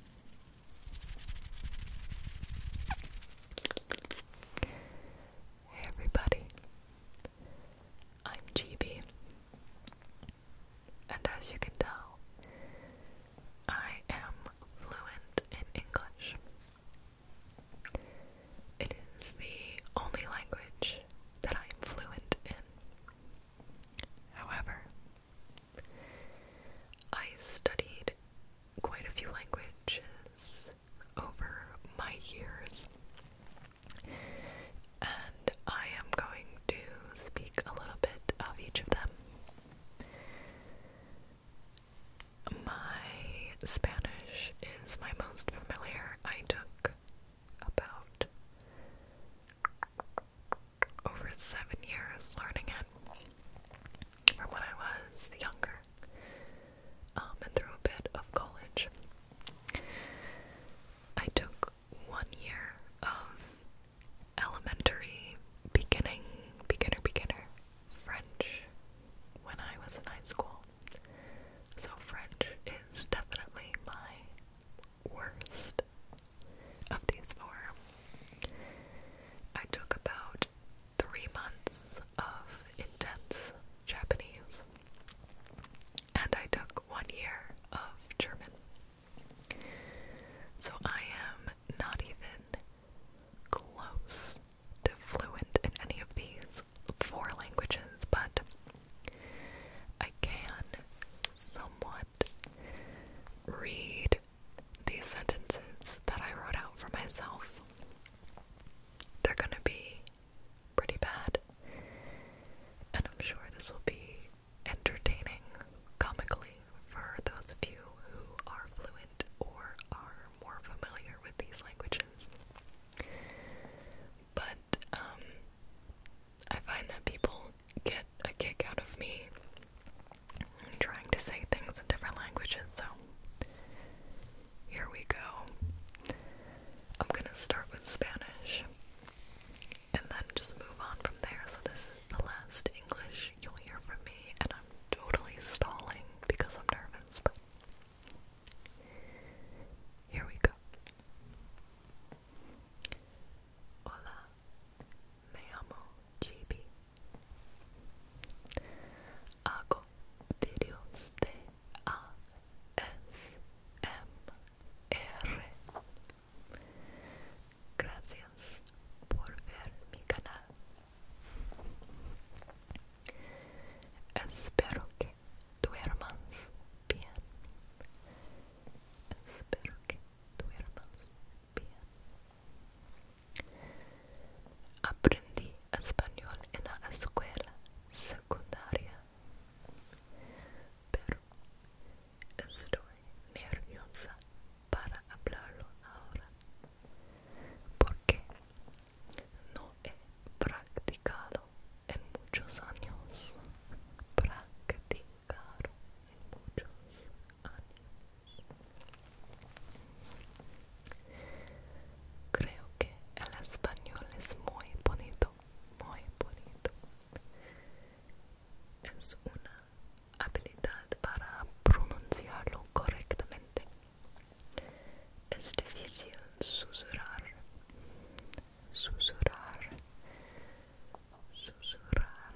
Hey everybody, I'm GB, and as you can tell, I am fluent in English. It is the only language that I am fluent in. However, I studied quite a few languages over my years, and I am going to speak a little bit of each of them. My Spanish is my most familiar. I took about over seven years learning it from when I was younger um, and through a bit of college. I took one year of elementary beginning, beginner, beginner French when I was in high school. So, French is definitely my worst of these four. I took about three months of intense Japanese, and I took one year of German. So I am not even close to fluent in any of these four languages, but I can somewhat read these sentences that I wrote out for myself. They're gonna be pretty bad, and I'm sure this will be entertaining comically for those of you who are fluent or are more familiar with these languages. But, um, I find that people get a kick out of me trying to say things in different languages, so here we go. I'm gonna start with Spanish and then just move on from there. So, this is the last English you'll hear from me, and I'm totally stalling because I'm nervous, but here we go. Hola. Me llamo Chibi. Hago videos de ASMR. Gracias por ver mi canal. Espero que duermas bien. Espero que duermas bien. Aprendí español en la escuela secundaria, pero estoy nerviosa para hablarlo ahora porque no he practicado en muchos años en muchos Creo que el español es muy bonito, muy bonito. Es una habilidad para pronunciarlo correctamente. Es difícil susurrar, susurrar susurrar.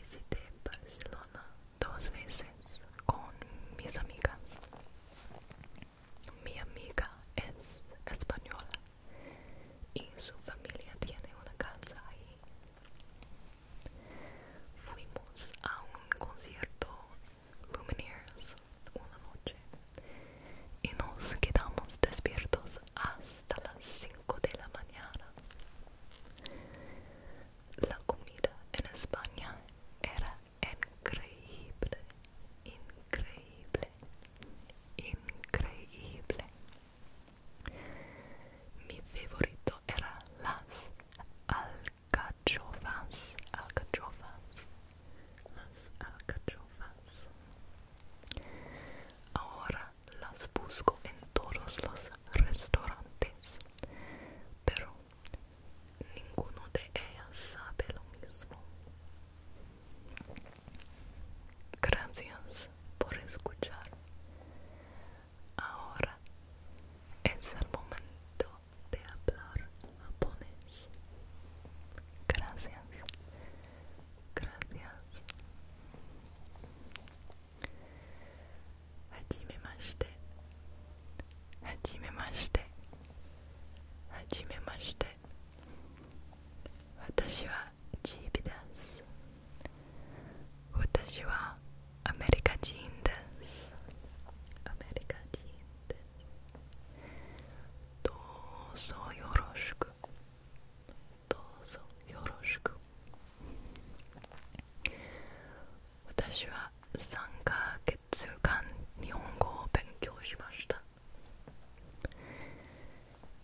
Visité Barcelona dos veces con mis amigas. Mi amiga es española y su familia tiene una casa ahí. Fuimos a un concierto lumineers una noche y nos quedamos despiertos hasta las 5 de la mañana. La comida en España era increíble, increíble, increíble. Mi favorito era las alcachofas, alcachofas las alcachofas. Ahora las busco en todos los restaurantes, pero ninguno de ellas sabe lo mismo. Gracias por escuchar. Ahora es el momento de hablar japonés. Gracias. Gracias. Hajimemashite. Hajimemashite. Hajimemashite. Watashi wa chibi desu. Watashi wa アメリカ人です。アメリカ人どうぞよろしくどうぞよろしく私は3ヶ月間日本語を勉強しました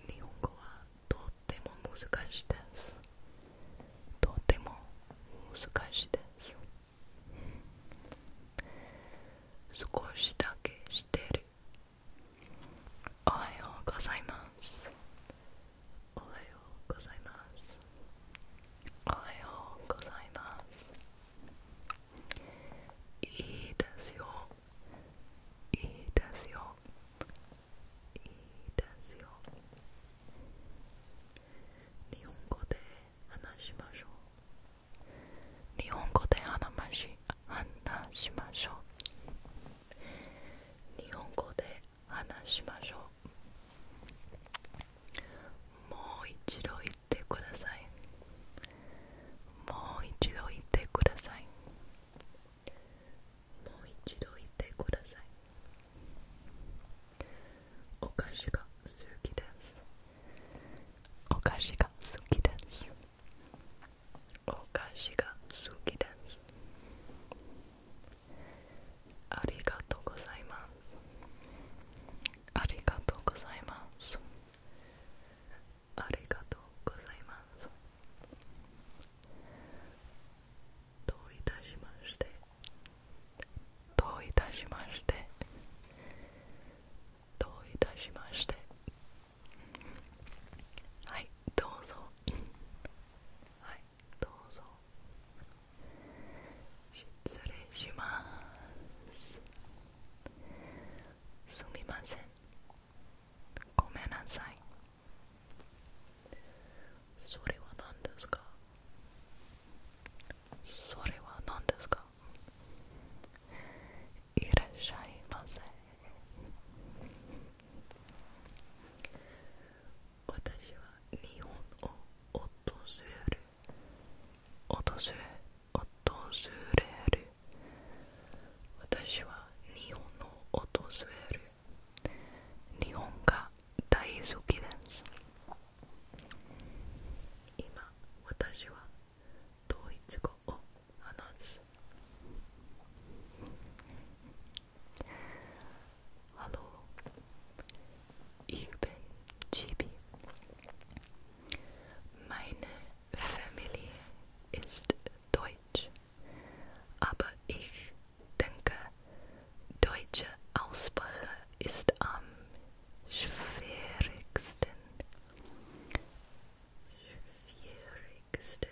日本語はとっても難しいですとても難しいです少しだけしてるおはようございますおはようございますおはようございますいいですよいいですよいいですよ日本語で話しましょう日本語で話し話しましょう日本語で話しましょうもう一度言ってくださいもう一度言ってくださいもう一度言ってくださいお菓子が好きですお菓子が好きですお菓子が好きですありがとうございますありがとうございますありがとうございますどういたしましてどういたしましてどういたしましてはいどうぞはいどうぞ失礼しますすみませんごめんなさいそれは何ですかそれは何ですかいらっしゃいませ私は日本を訪れる訪れ訪れる私は日本を訪れる日本が大好きです今私はドイツ語を話す Hallo, ich bin Gibi. Meine Familie ist deutsch, aber ich denke, deutsche Aussprache ist am schwierigsten. Schwierigsten.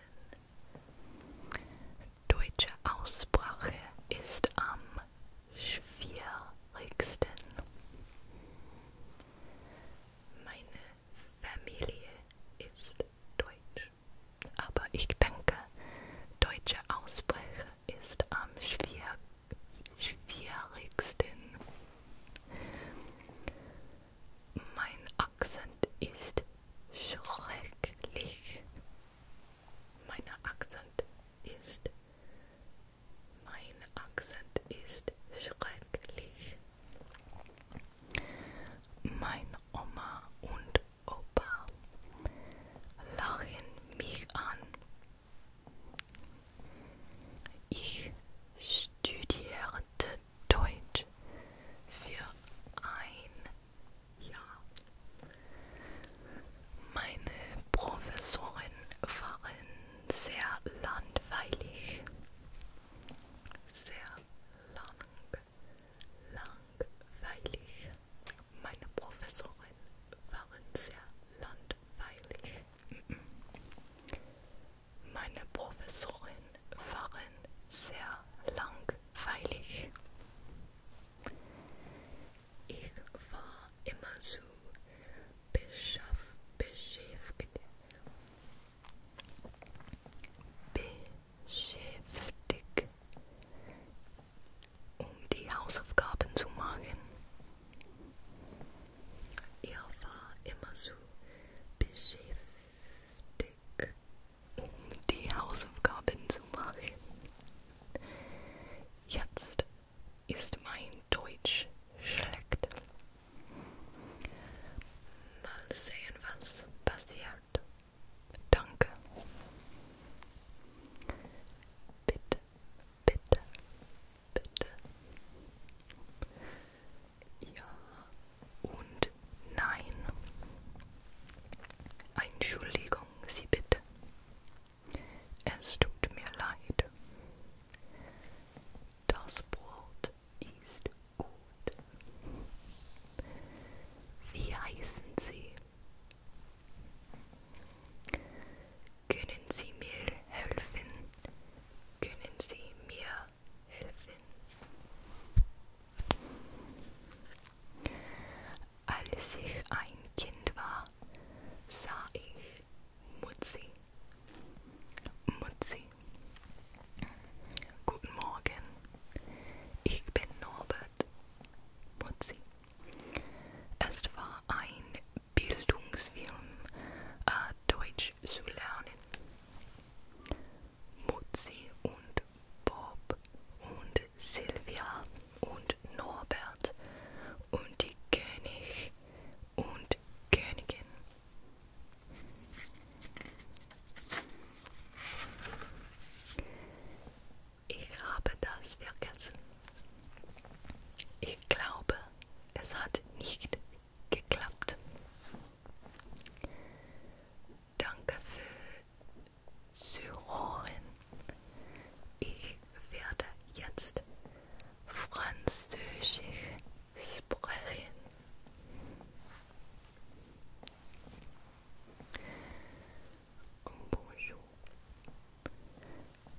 Deutsche Aussprache ist am schwierigsten. Meine Familie ist deutsch aber ich denke, deutsche Aussprache ist am schwier schwierigsten. Mein Akzent ist schrecklich. Mein Akzent ist mein Akzent ist schrecklich. Meine Oma und Opa lachen mich an. Ich studierte Deutsch für ein Jahr. Meine Professoren waren sehr langweilig. Sehr lang langweilig. Meine Professoren waren sehr langweilig. Meine Professoren waren sehr langweilig. Ich war immer so beschäftigt. Beschäftigt um die Hausaufgaben zu machen. Er war immer so beschäftigt, um die Hausaufgaben zu machen. Jetzt ist mein Deutsch schlecht. Mal sehen, was passiert. Danke. Bitte, bitte, bitte. Ja und nein. Entschuldigung, Sie bitte. Es tut mir leid. Das Brot ist gut. Wie heißen Sie? Können Sie mir helfen? Können Sie mir helfen? Als ich ein Kind war, sah ich Mutzi. Mutzi. Guten Morgen, ich bin Norbert Mutzi. Es war ein Bildungsfilm, äh, Deutsch zu lernen. Mutzi und Bob und Silvia und Norbert und die König und Königin. Ich habe das vergessen. Ich glaube, es hat nicht geklappt. Danke für Syrorin. Ich werde jetzt Französisch sprechen. Oh, bonjour,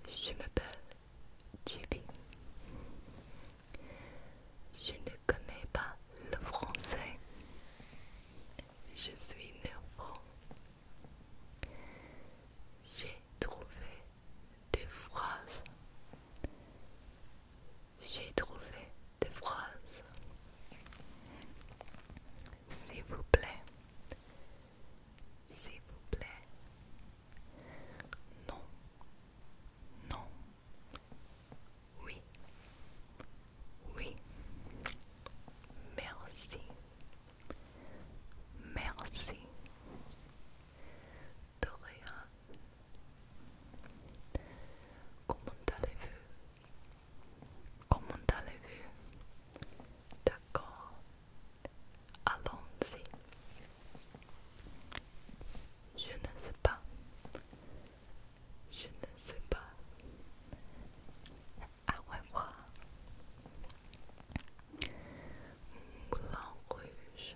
je m'appelle Je ne connais pas le français. Je suis nerveux. J'ai trouvé des phrases j'ai trouvé des phrases. S'il vous plaît, s'il vous plaît, non, non, oui, oui, merci, merci. Doréa Comment allez-vous Comment allez-vous D'accord. Allons-y. Je ne sais pas. Je ne sais pas. À revoir. Blanc Rouge.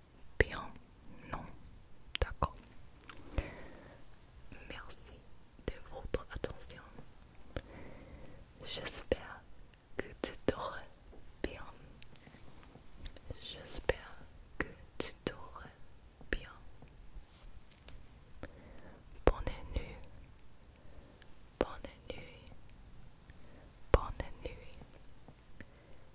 Bien, non, d'accord. Merci de votre attention. J'espère que tu dors bien. J'espère que tu dors bien. Bonne nuit. Bonne nuit. Bonne nuit.